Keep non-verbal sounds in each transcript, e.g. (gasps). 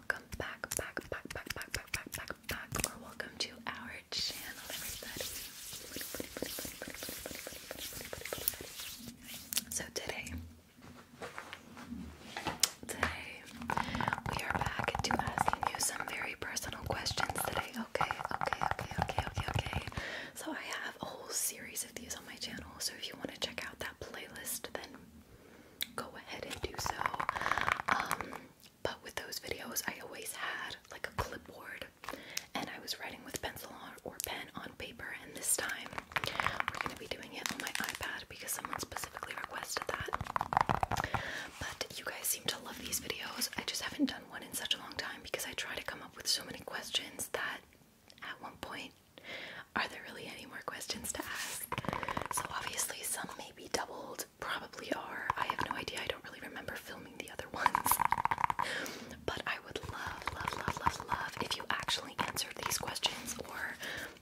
welcome back, back, back, back, back, back, back, back, or welcome to our channel, everybody. So today, today we are back to asking you some very personal questions today. Okay, okay, okay, okay, okay, okay. So I have a whole series of these on my channel. So if you want to check out that playlist, then go ahead and do so. Um, but with those videos, I always had like a clipboard and I was writing with pencil or pen on paper. And this time, we're going to be doing it on my iPad because someone specifically requested that. But you guys seem to love these videos. I just haven't done one in such a long time because I try to come up with so many questions that at one point, are there really any more questions to ask? So obviously some may be doubled, probably are. I have no idea. I don't really remember filming the other ones. But I would love, love, love, love, love if you actually answered these questions or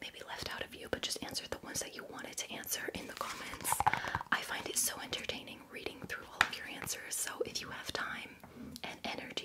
maybe left out of you, but just answered the ones that you wanted to answer in the comments. I find it so entertaining reading through all of your answers. So if you have time and energy,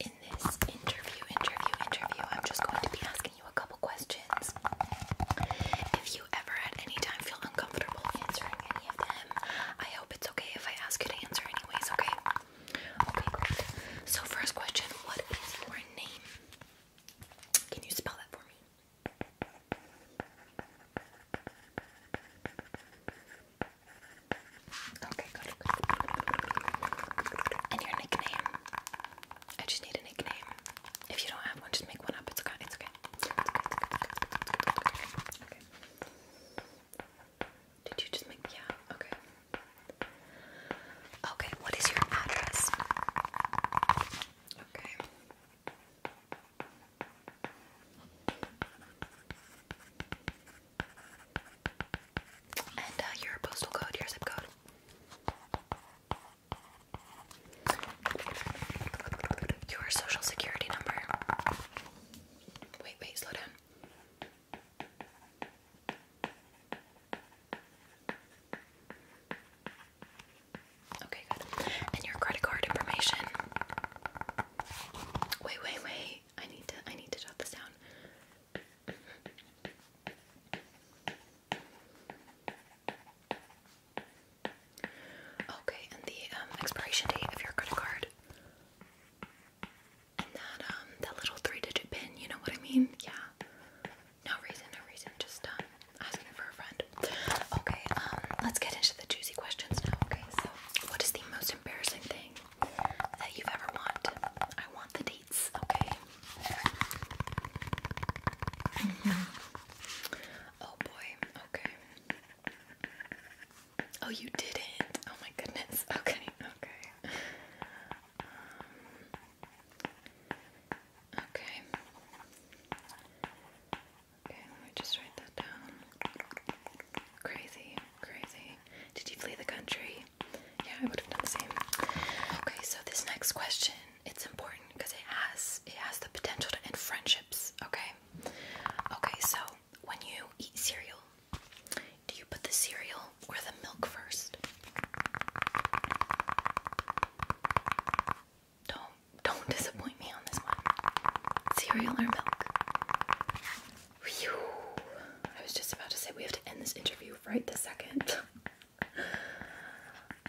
in this interview, interview, interview, I'm just going to be asking you a couple questions. If you ever at any time feel uncomfortable answering any of them, I hope it's okay if I ask you to answer anyways, okay? Okay, great. So first question, what is your name? Can you spell that for me? Okay, good, And your nickname? I just need a nickname. If you don't have one, just make one up. It's okay. It's okay. Did you just make? Yeah. Okay. Okay. What is your address? Okay. And uh, your postal code, your zip code. Your social security number. Wait, wait, slow down. Okay, good. And your credit card information. Wait, wait, wait. I need to I need to jot this down. Okay, and the um, expiration date of your credit card, and that um that little three-digit pin. You know what I mean? Yeah. No reason, no reason. Just um, asking for a friend. Okay. Um, let's get into the juicy questions now. Okay. So, what is the most embarrassing thing that you've ever want. I want the dates, okay? Mm-hmm. Oh boy, okay. Oh, you didn't. Oh my goodness. (laughs) Okay, okay. Um, okay. Okay, let me just write that down. Crazy. Crazy. Did you flee the country? Yeah, I would have done the same. Okay, so this next question, it's important because it has it has the potential to end friendships, okay? Okay, so when you eat cereal, do you put the cereal or the milk first? Don't don't (laughs) disappoint me on this one. Cereal or milk? I was just about to say we have to end this interview right this second.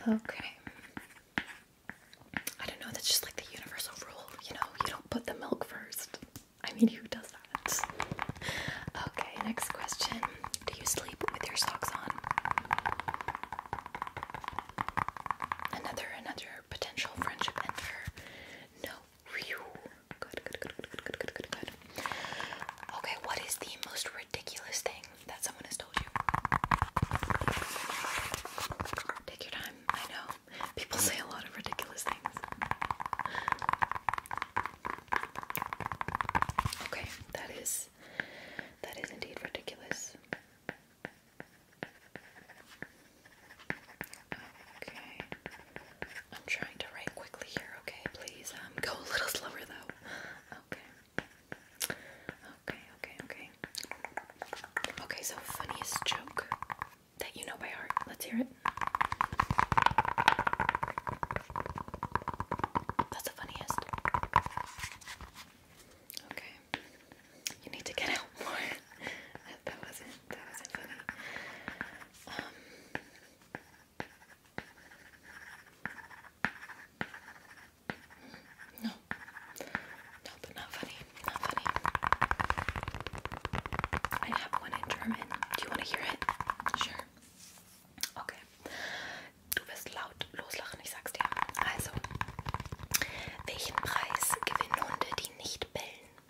okay. I don't know, that's just like the universal rule, you know, you don't put the milk first. I mean, who does that? Okay, next question. Do you sleep with your socks on? Another another potential friendship ender. No, Okay, what is the most ridiculous thing that someone has told you? Take your time. I know. People say a lot of ridiculous things. Okay, that is that is indeed ridiculous. Okay. I'm trying to write quickly here, okay? Please um, go a little slower though. Okay. Okay, okay, okay. Okay, so funniest joke that you know by heart. Let's hear it. That's the funniest. Okay. You need to get out more. (laughs) that wasn't da sind wir da. Ähm, no, no, but not funny, not funny. I have one in German. Do you want to hear it? Sure. Okay. Du wirst laut loslachen, ich sag's dir. Also, welchen Preis gewinnen Hunde, die nicht bellen?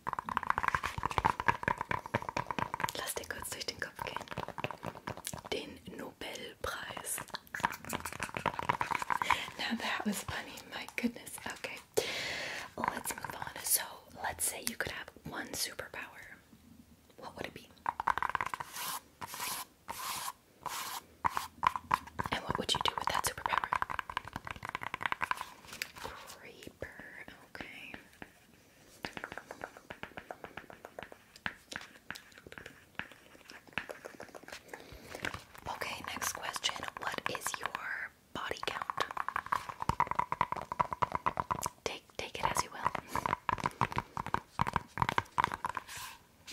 Now that was funny, my goodness. Okay, let's move on. So, let's say you could have one superpower. What would it be? And what would you do with that superpower? Creeper, okay. Okay, next question. What is your body count? Take take it as you will.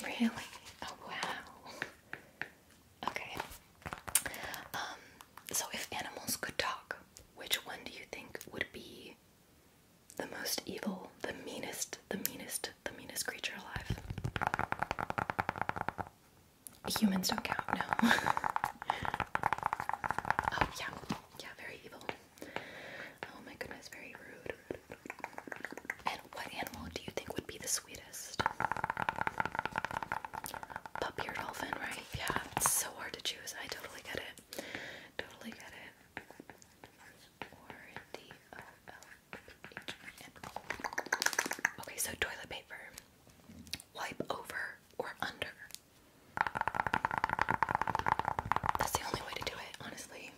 Really? Oh wow. Okay. Um, so if animals could talk, which one do you think would be the most evil, the meanest, the meanest, the meanest creature alive? Humans don't count, no. (laughs) oh, yeah. Yeah, very evil. Oh my goodness, very rude. And what animal do you think would be the sweetest? Puppy or dolphin, right? Yeah, it's so hard to choose. I totally get it. Totally get it. Okay, so toilet paper. Wipe over or under. That's the only way to do it, honestly.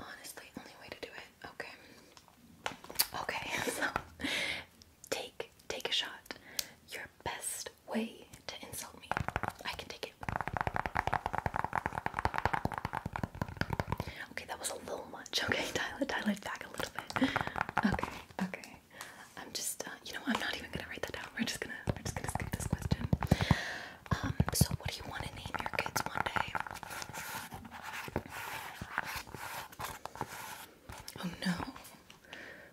Honestly, only way to do it. Okay. Okay, (laughs) Take take a shot. Your best way to insult me. I can take it. Okay, that was a little much. (laughs) Okay, dial it, dial it back a little bit. Okay, okay. I'm just, uh, you know, I'm not even gonna write that down. We're just gonna, we're just gonna skip this question. Um, so what do you want to name your kids one day? Oh no.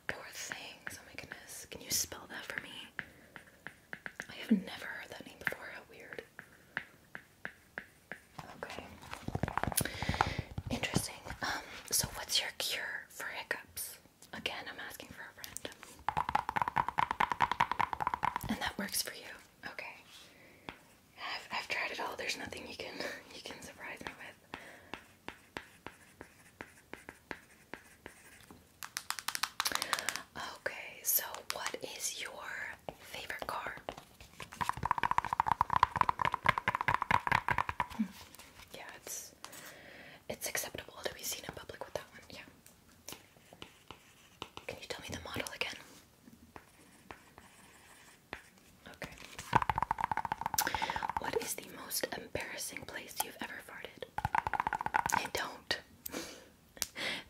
Poor things. Oh my goodness. Can you spell that for me? I have never heard that name before. How weird. Okay. Interesting. Um, so what's your cure for hiccups? Again, I'm asking for a friend. And that works for you. Okay. I've tried it all. There's nothing you can (laughs) you can surprise me with. Okay, so what is your favorite car? Hmm. Yeah, it's it's acceptable to be seen in public with that one. Yeah. Can you tell me the model again? Okay. What is the most embarrassing place you've ever farted? don't. (laughs)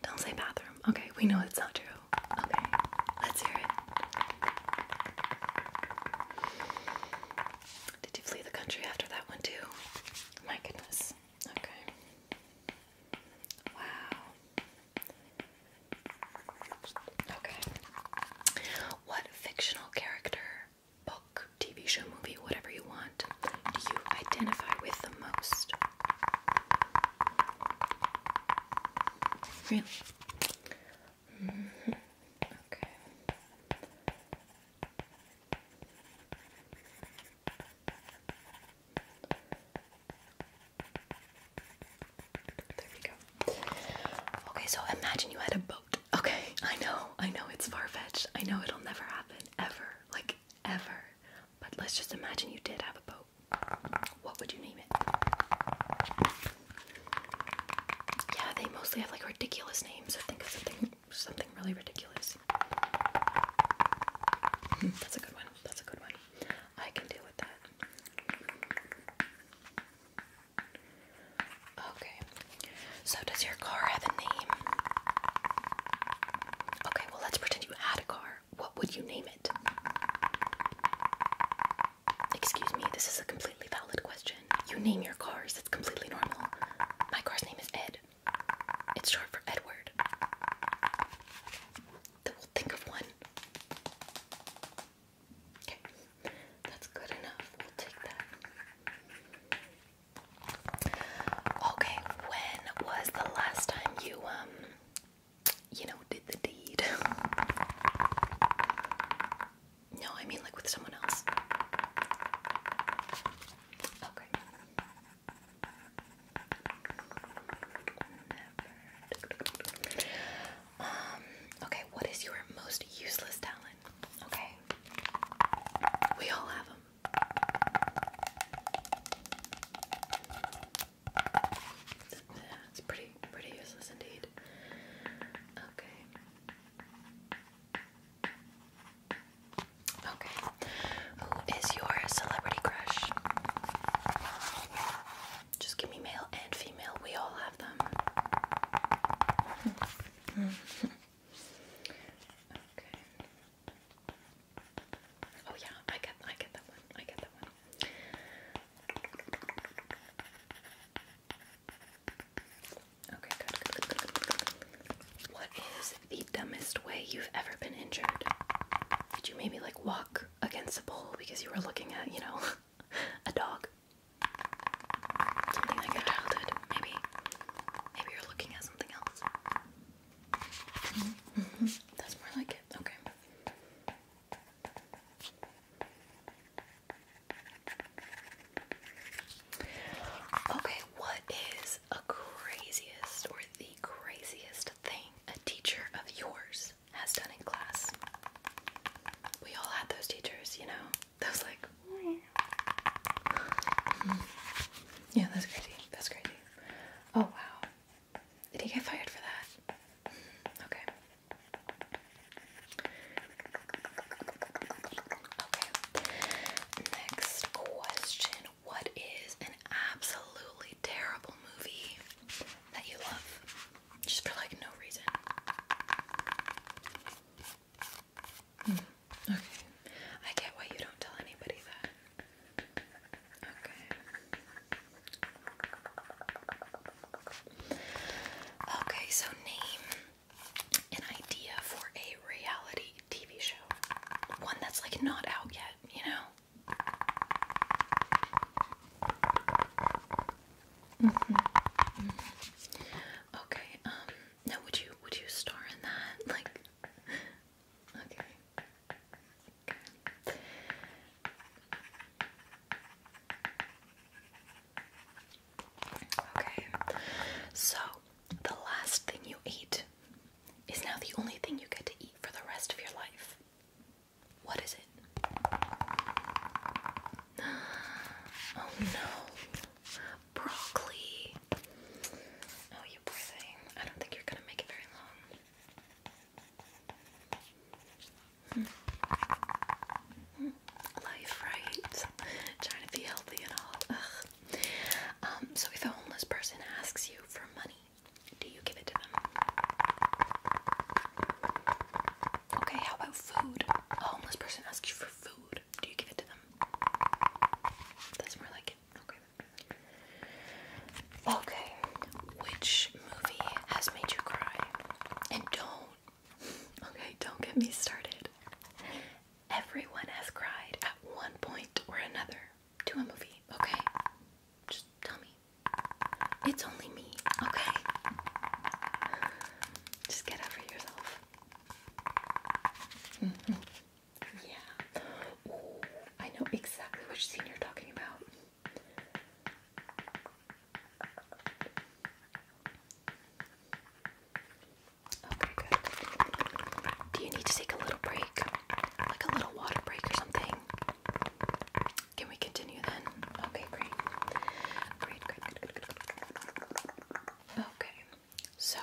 don't say bathroom. Okay, we know it's not true. Okay, let's hear it. Did you flee the country after that one too? My goodness. Okay. Wow. Okay. What fictional character, book, TV show, movie, whatever you want, do you identify with the most? Really? Mm-hmm. Okay. There we go. Okay, so imagine you had a boat. Okay, I know, I know it's far fetched. I know it'll never happen, ever. Like, ever. But let's just imagine you did have a boat. What would you name it? Yeah, they mostly have like ridiculous names. So think of something something really ridiculous. Hmm, that's a good one. That's a good one. I can deal with that. Okay. So does your car have a name? Okay, well let's pretend you had a car. What would you name it? Excuse me, this is a completely valid question. You name your cars, it's completely normal. My car's name is Ed. It's short for Edward. Then we'll think of one. Okay, that's good enough. We'll take that. Okay, when was the last time you um you know did the deed? No, I mean like with someone else. Okay. Um, okay, what is your most useless talent? Okay. We all have them. Yeah, it's pretty pretty useless indeed. Okay. Okay. Who is your celebrity crush? Just give me male and female we all have them. Oh yeah, I get I get that one. I get that one. Okay, What is the dumbest way you've ever been injured? Did you maybe like walk against a pole because you were looking at, you know, (laughs) a dog? Something like your childhood, maybe. Maybe you're looking at something else. Mm-hmm. That's more like it. Okay. Okay, what is a craziest or the craziest thing a teacher of yours has done in class? We all had those teachers, you know? Those like (laughs) Yeah, that's crazy. That's crazy. Oh wow. Did he get fired for that? Okay. Okay. Next question. What is an absolutely terrible movie that you love? Just for like no reason. Hmm. Okay. I get why you don't tell anybody that. Okay. Okay, so name an idea for a reality TV show. One that's like not out yet, you know? Mm-hmm. Okay. Um, now, would you would you star in that? Like. Okay. okay. so the last thing you ate is now the only thing you get to eat for the rest of your life. What is (gasps) Oh no, broccoli. Oh, you poor thing. I don't think you're gonna make it very long. Hmm. Life, right? Trying to be healthy and all. Um, so if a homeless person asks you for money, do you give it to them? Okay, how about food? A homeless person asks you for food. Do you give it to them? That's more like it. Okay. Okay. Which movie has made you cry? And don't. Okay, don't get me started. Everyone has cried at one point or another to a movie, okay? Just tell me. It's only me, okay? Just get over yourself. Mm -hmm. Yeah. I know exactly which scene you're talking about. Okay, good. Do you need to take a little break? Like a little water break or something? Can we continue then? Okay, great. Great, great, Okay, so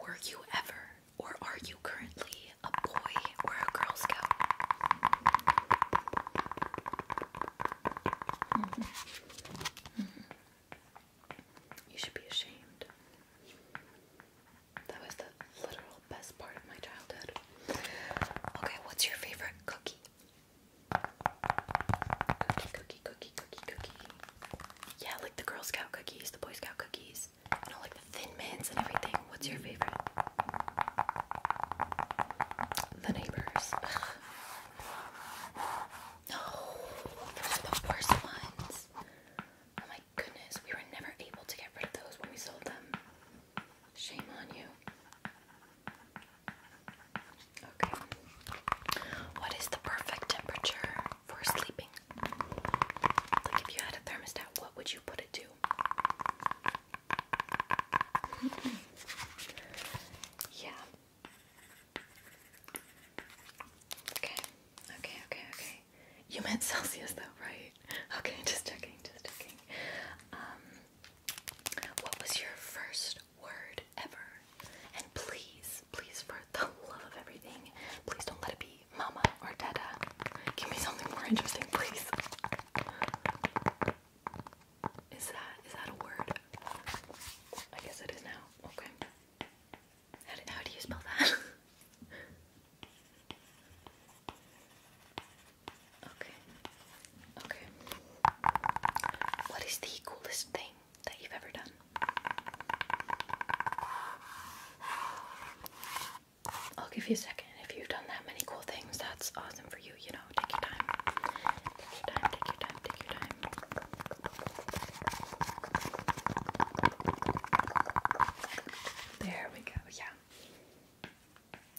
were you ever or are you currently a boy or a Girl Scout? Mm-hmm. Mm-hmm. You should be ashamed. That was the literal best part of my childhood. Okay, what's your favorite cookie? Yeah, like the Girl Scout cookies, the Boy Scout cookies. You know, like the Thin Mints and everything. What's your favorite? The Neighbors. No, oh, those are the worst ones. Oh my goodness, we were never able to get rid of those when we sold them. Shame on you. Okay. What is the perfect temperature for sleeping? Like if you had a thermostat, what would you put it to? (laughs) yeah. Okay. Okay, okay, okay. You meant Celsius though, right? (laughs) Okay, just checking, just checking. Um what was your first word ever? And please, please, for the love of everything, please don't let it be mama or dada. Give me something more interesting, please. Is that is that a word? I guess it is now. Okay. How do, how do you spell that? (laughs) Okay. Okay. What is the coolest thing that you've ever done? I'll give you a second. If you've done that many cool things, that's awesome for you, you know. Take your time. Take your time, take your time, take your time. There we go, yeah.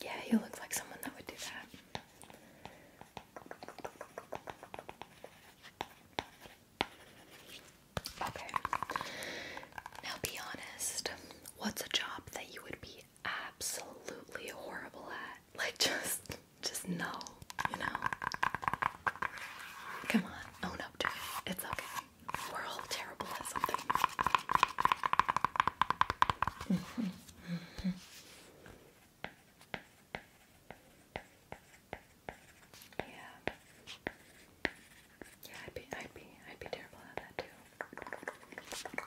Yeah, you look like someone that would do that. Okay. Now be honest. What's a job that you would be absolutely horrible at? (laughs) Like just just no, you know. Come on, own up to it. It's okay. We're all terrible at something. (laughs) Mm-hmm. Mm-hmm. Yeah. Yeah, I'd be I'd be I'd be terrible at that too.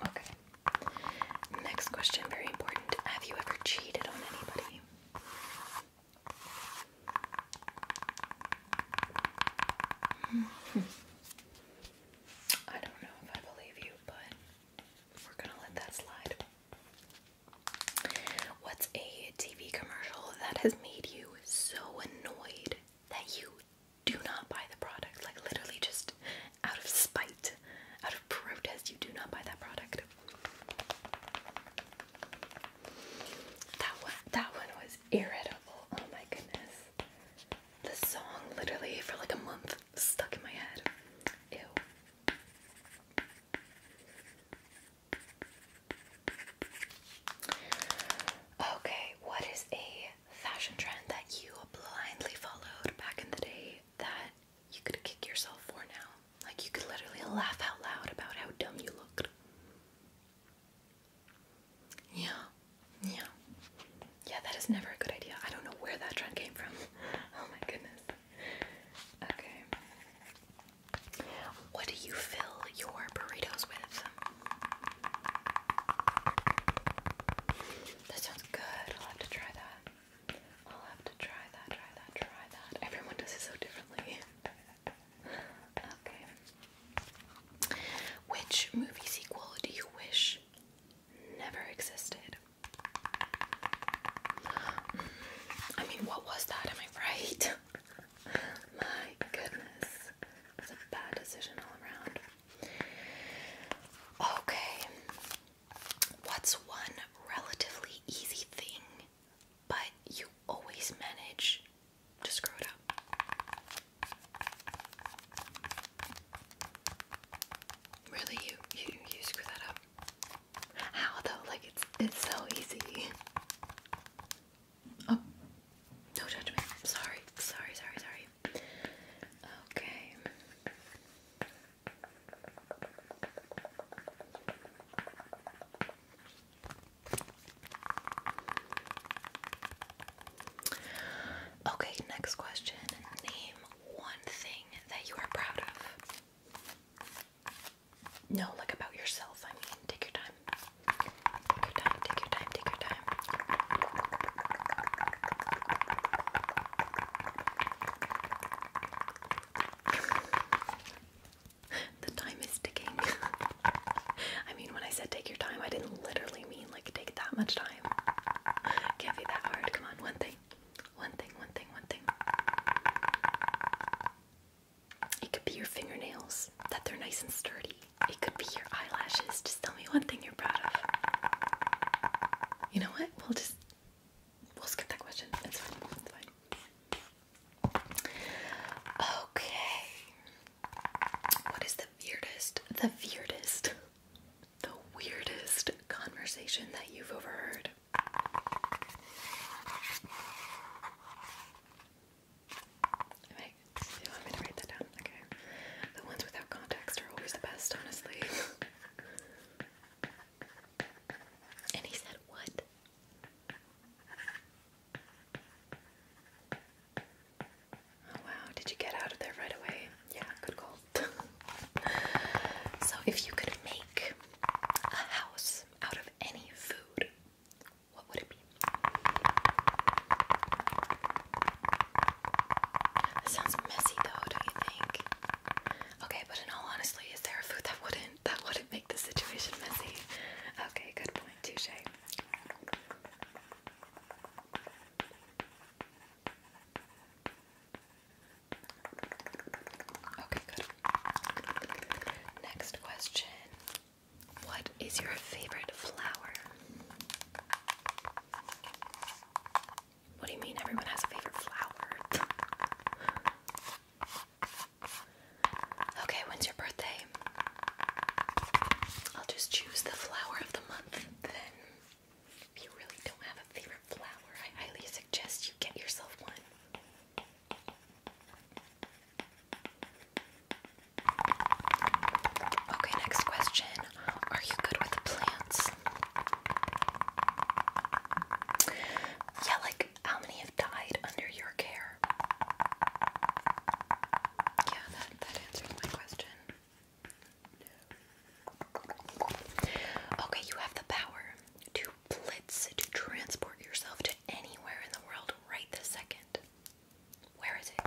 Okay. Next question, very important. Have you ever cheated on anybody? Hmm. I don't know if I believe you, but we're gonna let that slide. What's a TV commercial that has made you so annoyed that you do not buy the product? Like, literally, just out of spite, out of protest, you do not buy that product. That one, that one was irritable. Oh my goodness. The song literally for like a month stuck in my head. Ew. Okay, what is a fashion trend that you blindly followed back in the day that you could kick yourself for now? Like you could literally laugh out loud about how dumb you looked. Yeah, yeah. Yeah, that is never a good idea. I don't know where that trend came from. (laughs) oh my goodness. Okay. What do you fill your burritos with? That sounds good. I'll have to try that. I'll have to try that, try that, try that. Everyone does it so differently. (laughs) okay. Which movie sequel do you wish never existed. I mean, what was that? Am I right? (laughs) My goodness. It's a bad decision all around. Okay. What's one relatively easy thing, but you always manage to screw it up? Really, you you you screw that up. How though? Like it's it's so easy. Oh, no judgment. Sorry, sorry, sorry, sorry. Okay. Okay, next question. Name one thing that you are proud of. No, like about yourself. I mean, take your time. Take your time, take your time, take your time. (laughs) the time is ticking. (laughs) I mean, when I said take your time, I didn't literally mean like take that much time. Can't be that hard. Come on, one thing one thing, one thing, one thing. It could be your fingernails, that they're nice and sturdy. It could be your eyelashes. Just tell me one thing you're proud of. You know what? We'll just we'll skip that question. It's fine. It's fine. Okay. What is the weirdest? The weirdest the weirdest conversation that you've overheard? Wait, you want me to write that down? Okay. The ones without context are always the best, honestly. (laughs) and he said, What? Oh wow, did you get out of there right away? Yeah, good call. (laughs) so, if you could make a house out of any food, what would it be? sounds messy, though, don't you think? Okay, but in all honesty, is there a food that wouldn't that wouldn't make the situation messy? Okay, good point, touche. Okay, good. Next question. What is your favorite flower? What do you mean everyone has a favorite flower? (laughs) okay, when's your birthday? I'll just choose the flower of the month then you really don't have a favorite flower, I highly suggest you get yourself one. Okay, next question. Are you good with plants? Yeah, like how many have died under your care? Yeah, that, that answers my question. Okay, you have the power to blitz, to transport yourself to anywhere in the world right this second. Where is it?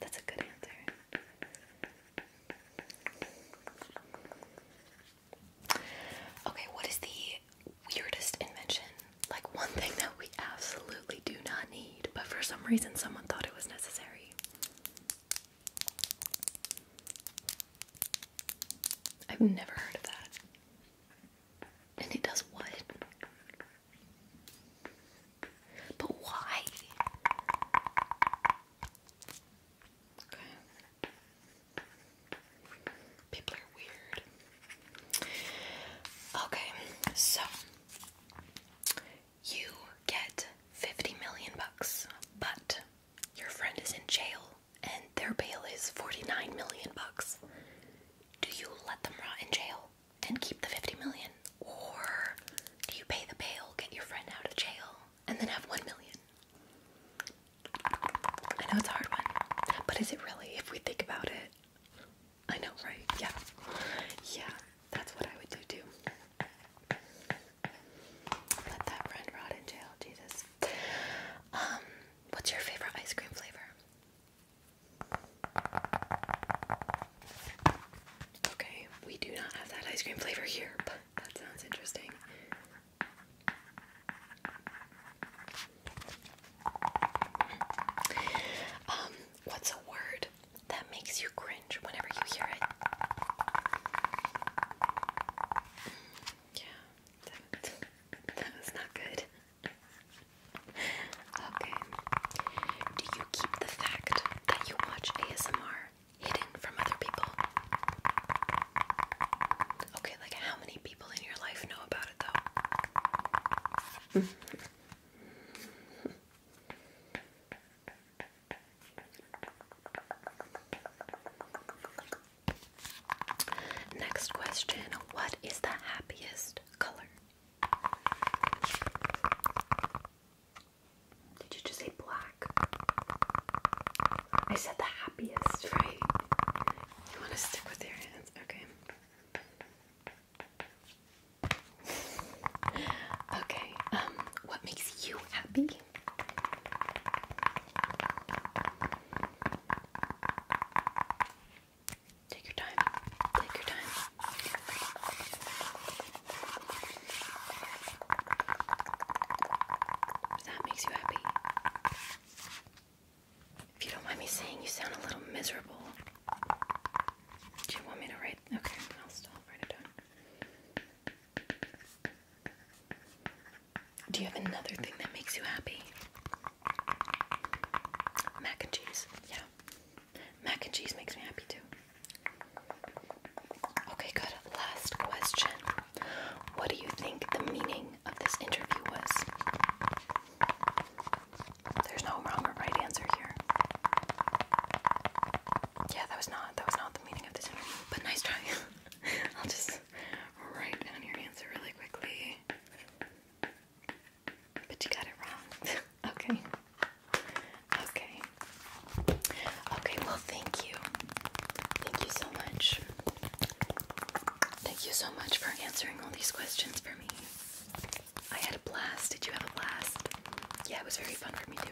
that's a good answer. Okay, what is the weirdest invention? Like one thing that we absolutely do not need, but for some reason someone thought it was necessary. I've never heard of that. And it does what? But why? People are weird. Okay, so you get 50 million bucks, but your friend is in jail and their bail is 49 million bucks. Do you let them rot in jail and keep the 50 million? Or do you pay the bail, get your friend out of jail, and then have 1 million? I know it's a hard one, but is it really, if we think about it? I know, right? Yeah. Yeah, that's what I would do too. Let that friend rot in jail, Jesus. Um, what's your favorite ice cream flavor? Okay, we do not have that ice cream flavor here, but that sounds interesting. Um, What's a word that makes you cringe whenever you hear it? Yeah, that, (laughs) not good. Okay. Do you keep the fact that you watch ASMR hidden from other people? Okay, like how many people in your life know about it though? (laughs) Next question What is the happiest color? Did you just say black? I said the happiest, right? You want to stick with your hands? Okay. Okay, um, what makes you happy? Take your time. Take your time. That makes you happy. If you don't mind me saying, you sound a little miserable. Do you want me to write? Okay, I'll still write it down. Do you have another thing that makes you happy? Mac and cheese. Yeah. Mac and cheese makes me happy too. Okay, good. Last question. What do you think the meaning of this interview was? There's no wrong or right answer here. Yeah, that was not that was not the meaning of this But nice try. (laughs) I'll just write down your answer really quickly. But you got it wrong. (laughs) okay. Okay. Okay, well thank you. Thank you so much. Thank you so much for answering all these questions for me. I had a blast. Did you have a blast? Yeah, it was very fun for me too.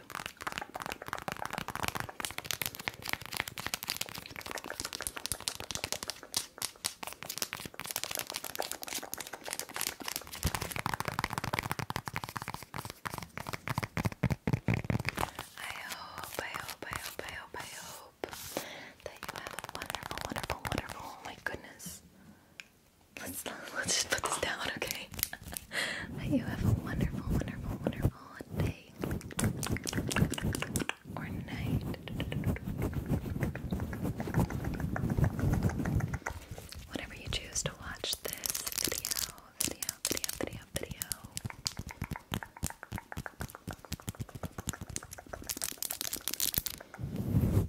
I hope, I hope, I hope, I hope, I hope that you have a wonderful, wonderful, wonderful, oh my goodness. Let's (laughs) let's just put this down, okay? (laughs) you have a wonderful, wonderful, wonderful day or night. Whenever you choose to watch this video, video, video, video, video.